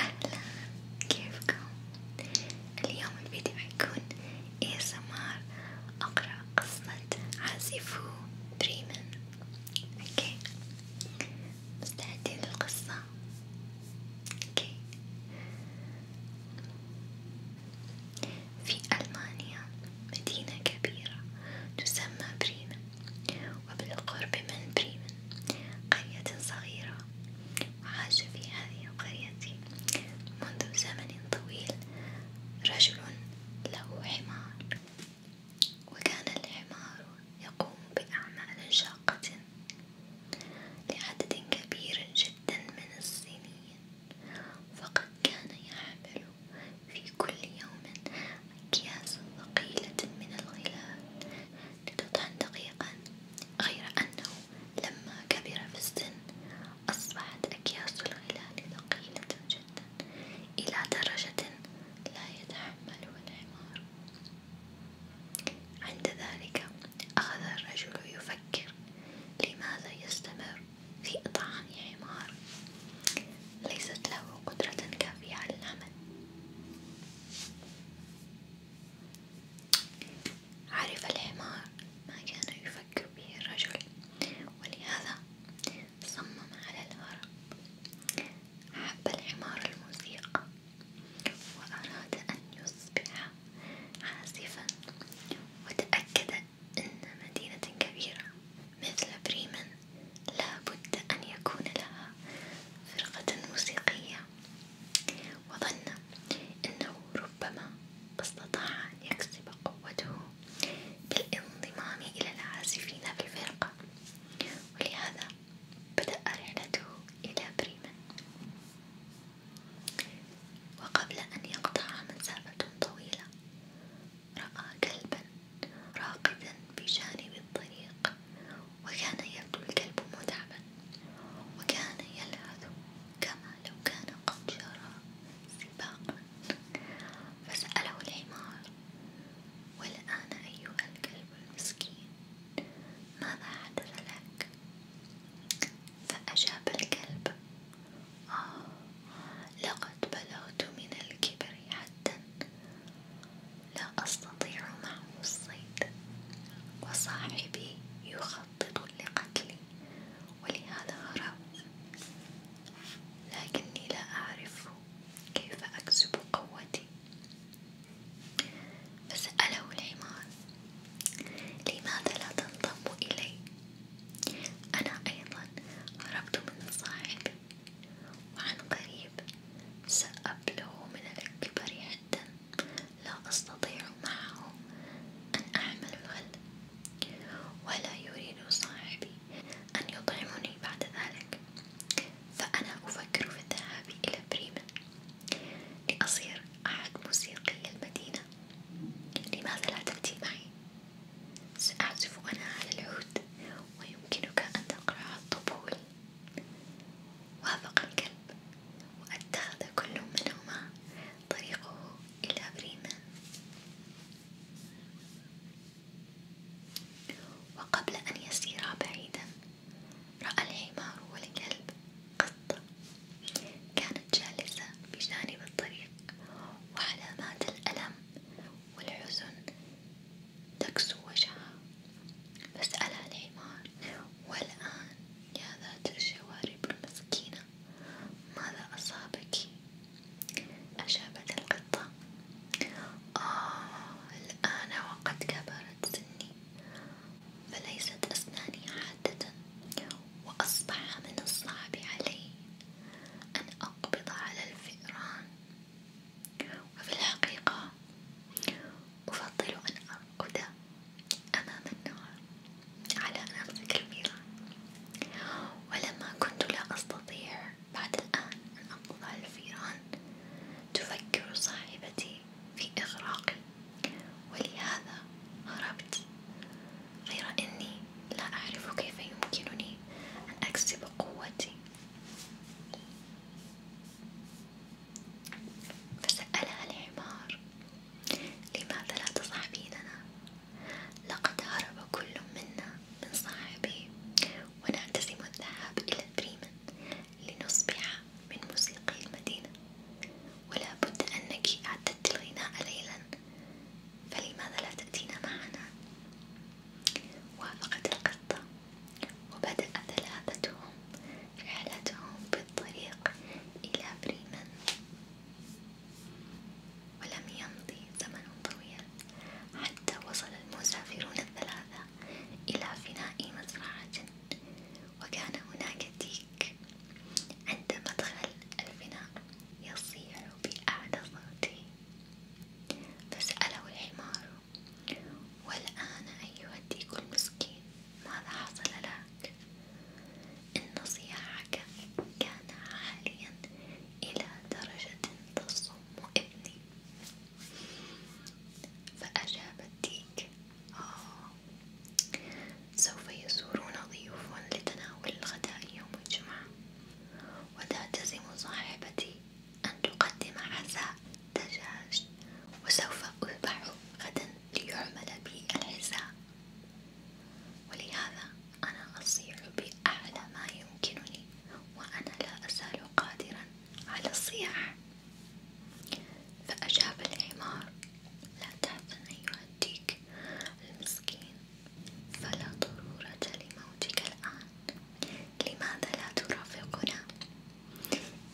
أهلا كيفكم؟ اليوم الفيديو حيكون ASMR أقرأ قصة عازفوا بريمن اوكي مستعدين للقصة؟ اوكي في ألمانيا مدينة كبيرة تسمى بريمن وبالقرب من بريمن قرية صغيرة وعاش في هذه القرية منذ زمن طويل رجل له حمار وكان الحمار يقوم بأعمال شاقة لعدد كبير جدا من الصينيين فقد كان يحمل في كل يوم أكياس ثقيلة من الغلال لتطحن دقيقا غير أنه لما كبر في السن أصبحت أكياس الغلال ثقيلة جدا إلى درجة لا يتحمله الحمار عند ذلك أخذ الرجل يفكر لماذا يستمر في طعام يا حمار ليست له قدرة كافية على العمل عرف الحمار ما كان يفكر به الرجل ولهذا صمم على الهرب حب الحمار الموسيقى وأراد أن يصبح عازفا وتأكد إن مدينة كبيرة مثل بريمن لا بد أن يكون لها فرقة موسيقية، وظن أنه ربما استطاع أن يكسب قوته بالانضمام إلى العازفين في الفرقة، ولهذا بدأ رحلته إلى بريمن. وقبل أن يقطع مسافة طويلة رأى كلبا راقدا بجانب الطريق وكان يبدو الكلب متعبا وكان يلهث كما لو كان قد جرى سباقا فسأله الحمار والآن أيها الكلب المسكين ماذا حدث لك؟ فأجاب الكلب آه لقد بلغت من الكبر حدا لا أستطيع معه الصيد وصاحبي يخطط لقتلي ولهذا هربت لكني لا أعرف كيف أكسب قوتي فسأله الحمار لماذا لا تنضم إلي أنا أيضا هربت من مصاعب وعن قريب سأبلغ من الكبر حدا لا أستطيع معه أن أعمل الغل ولا يريد صاحبي أن يطعمني بعد ذلك فأنا أفكر في الذهاب إلى بريمن لأصير أحد موسيقي المدينة لماذا لا تأتي معي؟ سأعزف أنا على العود ويمكنك أن تقرع الطبول وافق الكلب واتخذ كل منهما طريقه إلى بريمان وقبل أن يسيرا بعيدا رأى الحمار والكلب قد القطة كانت جالسة بجانب الطريق وعلامات الألم والحزن تكسو وجهها فسألها الحمار والآن يا ذات الجوارب المسكينة ماذا أصابك؟ أجابت القطة آه الآن وقد كبرت سني فليست أسناني حادة وأصبح من الصعب علي أن أقبض على الفئران، وفي الحقيقة أفضل أن أرقد أمام النار على أن أمسك الفئران، ولما كنت لا أستطيع بعد الآن أن أقبض على الفئران، تفكر صاحبتي في إغراقي ولهذا هربت غير أني لا أعرف كيف يمكنني أن أكسب قوتي فسألها الحمار لماذا لا تصاحبيننا لقد هرب كل منا من صاحبه ونعتزم الذهاب إلى بريمن لنصبح من موسيقي المدينة ولا بد أنك أعددت الغناء ليلا فلماذا لا تأتينا معنا؟ وافقت القطة وبدأ ثلاثتهم رحلتهم بالطريق إلى بريمن ولم يمضي زمن طويل حتى وصل المسافرون الثلاثة إلى فناء مزرعة وكان هناك ديك عليك عند مدخل الفناء يصيح بأعلى صوته فسأله الحمار والآن أيها الديك المسكين ماذا حصل لك؟ إن صياحك كان عاليا إلى درجة تصم ابني فأجاب الديك آه. سوف يزورون ضيوف لتناول الغداء يوم الجمعة وتلتزم صاحبتي أن تقدم عزاء دجاج وسوف أذبح غدا ليعمل بي العزاء ولهذا أنا أصيح بأعلى ما يمكنني وأنا لا أزال قادرا على الصياح فأجاب الحمار لا تحزن أيها الديك المسكين فلا ضرورة لموتك الآن لماذا لا ترافقنا؟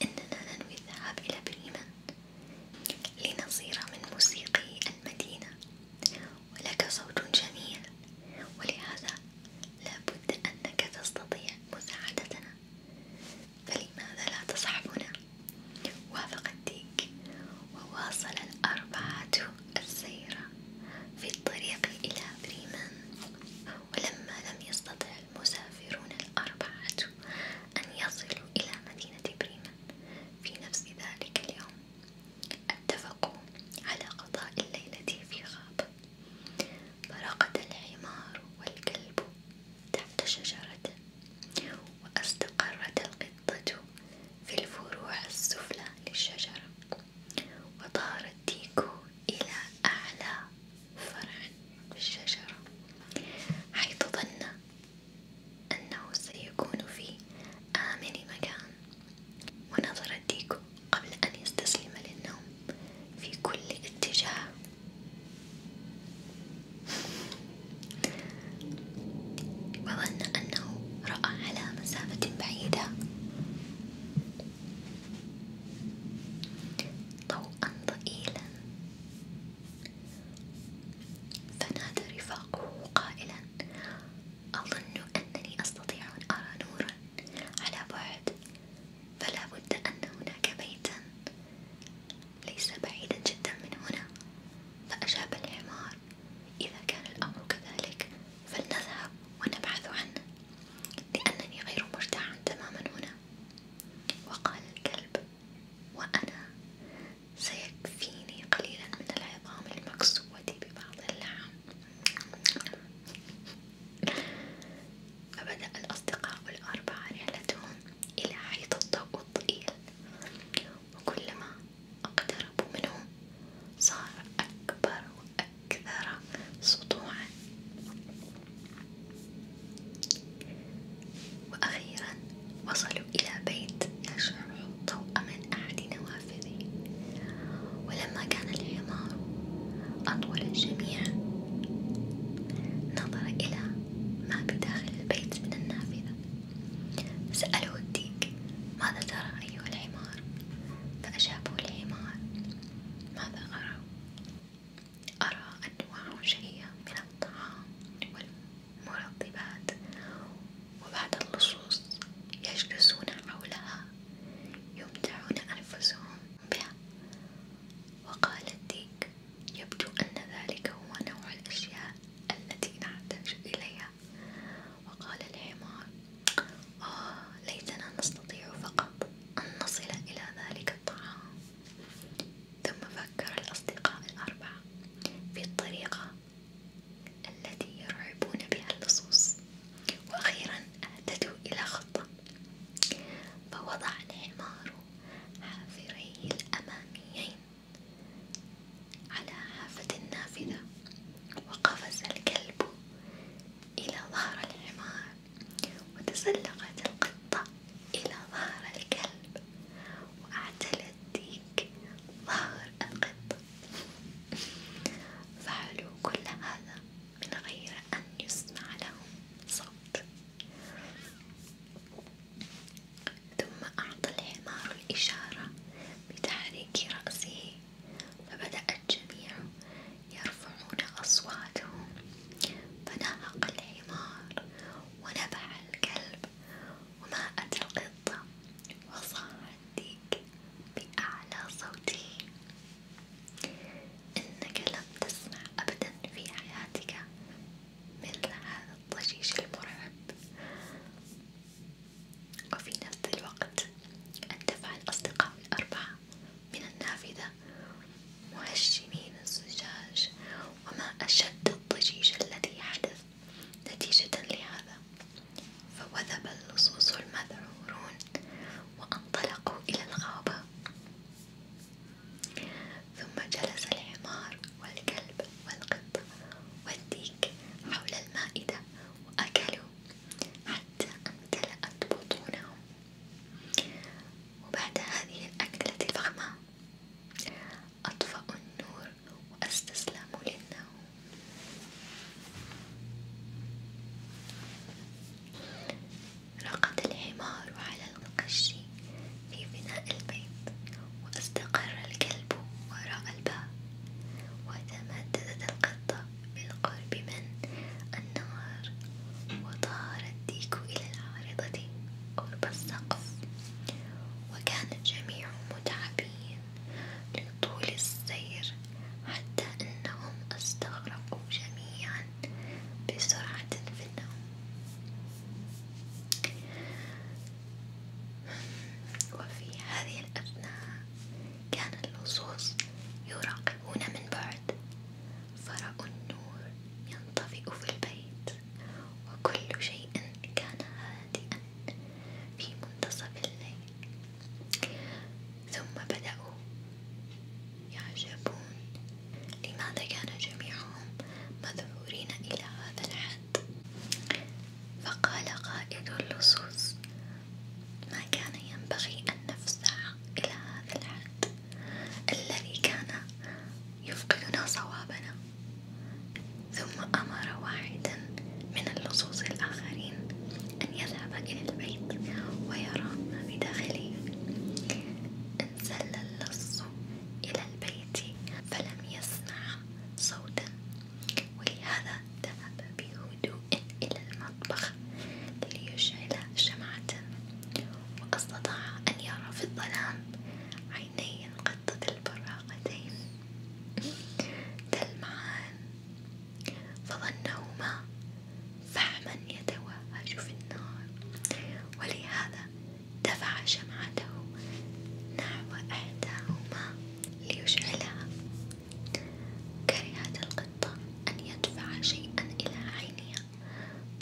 إننا ننوي الذهاب إلى بريمن لنصير من موسيقي المدينة ولك صوت جميل ولهذا لابد أنك تستطيع مساعدتنا فلماذا لا تصحبنا وافق الديك وواصل الأربعة السير في الطريق إلى بريمان ولما لم يستطع المسافرون الأربعة أن يصلوا إلى مدينة بريمان في نفس ذلك اليوم اتفقوا على قضاء الليلة في غابة فرقد الحمار والكلب تحت شجرة واستقرت القطة في الفروع السفلى للشجرة، وطار الديكو إلى أعلى فرع في الشجرة، حيث ظن أنه سيكون في آمن مكان، ونظر الديكو قبل أن يستسلم للنوم في كل اتجاه. وظن أنه رأى على مسافة بعيدة ضوءا ضئيلا فنادى رفاقه قائلا أظن أنني أستطيع أن أرى نورا على بعد فلا بد أن هناك بيتا ليس بعيدا جدا من هنا فأجاب الحمار إذا كان الأمر كذلك فلنذهب ونبحث عنه لأنني غير مرتاح تماما هنا وقال الكلب وأنا سيكفيني قليلا من العظام المكسوة ببعض اللحم فبدأ الأصدقاء الأربعة رحلتهم إلى حيث الضوء الضئيل وكلما اقتربوا منه صار أكبر وأكثر سطوعا وأخيرا وصلوا إلى بيت يشع الضوء من أحد نوافذه ولما كان الحمار أطول الجميع نظر إلى ما بداخل البيت من النافذة سأله الديك ماذا ترى أيها الحمار فأجابه الحمار ماذا أرى أرى أنواع شهية من الطعام والمرطبات وبعد اللصوص يجلسون حولها يمتعون أنفسهم بها وقال الديك يبدو أن ذلك هو نوع الأشياء التي نحتاج إليها، وقال الحمار: آه ليتنا نستطيع فقط أن نصل إلى ذلك الطعام، ثم فكر الأصدقاء الأربعة في الطريقة التي يرعبون بها اللصوص، وأخيرا أهتدوا إلى خطة، فوضع الحمار حافريه الأماميين على حافة النافذة وقفز الكلب إلى ظهر الحمار وتسلقت القطة إلى ظهر الكلب وأعتلت ديك ظهر القطة فعلوا كل هذا من غير أن يسمع لهم صوت ثم أعطى الحمار الإشارة بتحريك رأسه، فبدأ الجميع يرفعون أصواتهم، فنهق الحمار، ونبح الكلب، وما أتى القطة، وصاح الديك بأعلى صوته. إنك لم تسمع أبدا في حياتك مثل هذا الضجيج المرعب وفي نفس الوقت اندفع الأصدقاء الأربعة من النافذة مهشمين الزجاج وما أشد الضجيج الذي حدث نتيجة لهذا فوثب اللصوص المذعورون وانطلقوا إلى الغابة ثم جلس الحمار والكلب والقط والديك حول المائدة وأكلوا حتى امتلأت بطونهم، وبعد هذه الأكلة الفخمة أطفأوا النور وأستسلموا للنوم. رقد الحمار على القش في بناء البيت واستقر الكلب وراء الباب وتمددت القطة بالقرب من النهر وطار الديك إلى العارضة قرب السقف وكان الجميع متعبين من طول السير حتى أنهم استغرقوا جميعا بسرعة في النوم وفي هذه الأثناء كان اللصوص يراقبون من بعد فرأوا النور ينطفئ في البيت وكل شيء كان هادئا في منتصف الليل ثم بدأوا يعجبون لماذا كان جميعهم مذعورين إلى هذا الحد فقال قائد اللصوص ما كان ينبغي أن نفزع إلى هذا الحد الذي كان يفقدنا صوابنا ثم أمر واحدا من اللصوص الآخرين أن يذهب إلى البيت ويرى ما بداخله انزل اللص إلى البيت فلم يسمع صوتا ولهذا ذهب بهدوء إلى المطبخ ليشعل شمعة وأستطاع أن يرى في الظلام عيني قد البراقتين تلمعان فظنهما فحما يتوهج في النار ولهذا دفع شمعته نحو إحداهما ليشعلها كرهت القطة أن يدفع شيئا إلى عينها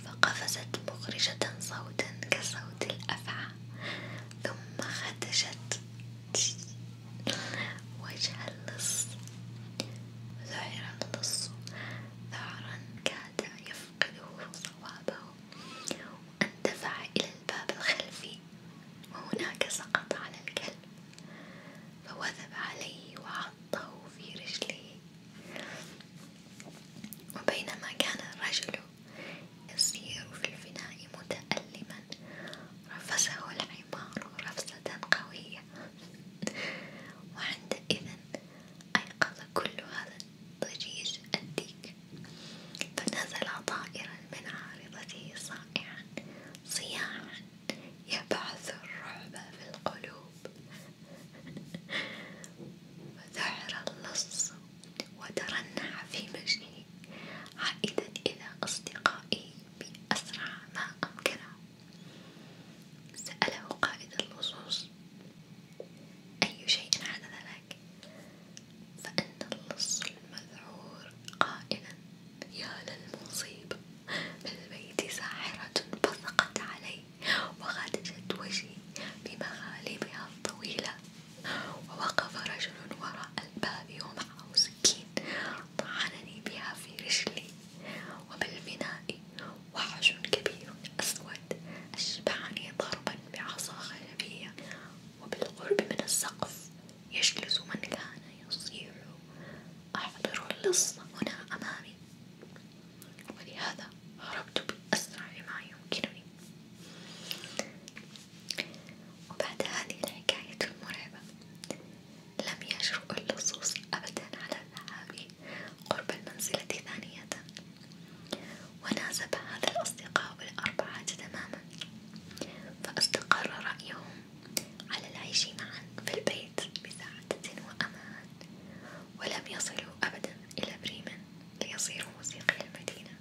فقفزت مخرجة صوتا كصوت الأفعى ثم خدشت وجه اللص ظهر اللص ثعرا كاد يفقده صوابه واندفع إلى الباب الخلفي وهناك سقط على الكلب فوثب عليه وعضه في رجله وبينما كان الرجل يسير في الفناء متألما رفسه الحمار رفسة قوية وعندئذ أيقظ كل هذا الضجيج الديك فنزل طائرا من عارضته صائعا صياعا يبعث الرعب في القلوب وذعر اللص وترنح في مجده عائدا إلى أصدقائه بأسرع ما أمكنه سأله قائد اللصوص أي شيء حدث لك فأن اللص المذعور قائلا يا للمصيب بالبيت ساحرة بصقت علي وغادجت وجهي بمغالبها الطويلة ووقف رجل وراء الباب ومعه سكين طعنني بها في رجلي وبالبناء وحش كبير أسود أشبعني ضربا بعصا خشبية وبالقرب من السقف يجلس من كان يصيح أحضر اللص هنا أمامي ولهذا هربت بأسرع ما يمكنني وبعد هذه الحكاية المرعبة لم يجرؤ اللصوص أبدا على الذهاب قرب المنزلة ثانية وناسب هذا الأصدقاء الأربعة تماما فاستقر رأيهم على العيش معا في البيت بسعادة وأمان ولم يصلوا أبدا إلى بريمن ليصيروا موسيقي المدينة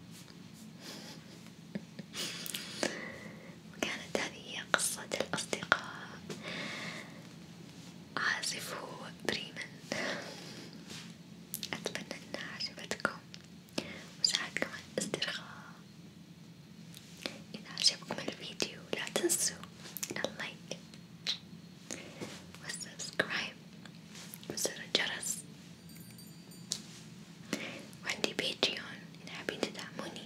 كانت هذه هي قصة الأصدقاء عازفوا بريمن أتمنى أنها عجبتكم وساعدكم على الاسترخاء إذا عجبكم الفيديو لا تنسوا اللايك والسبسكرايب وزر الجرس وعندي بيتريون إذا حابين تدعموني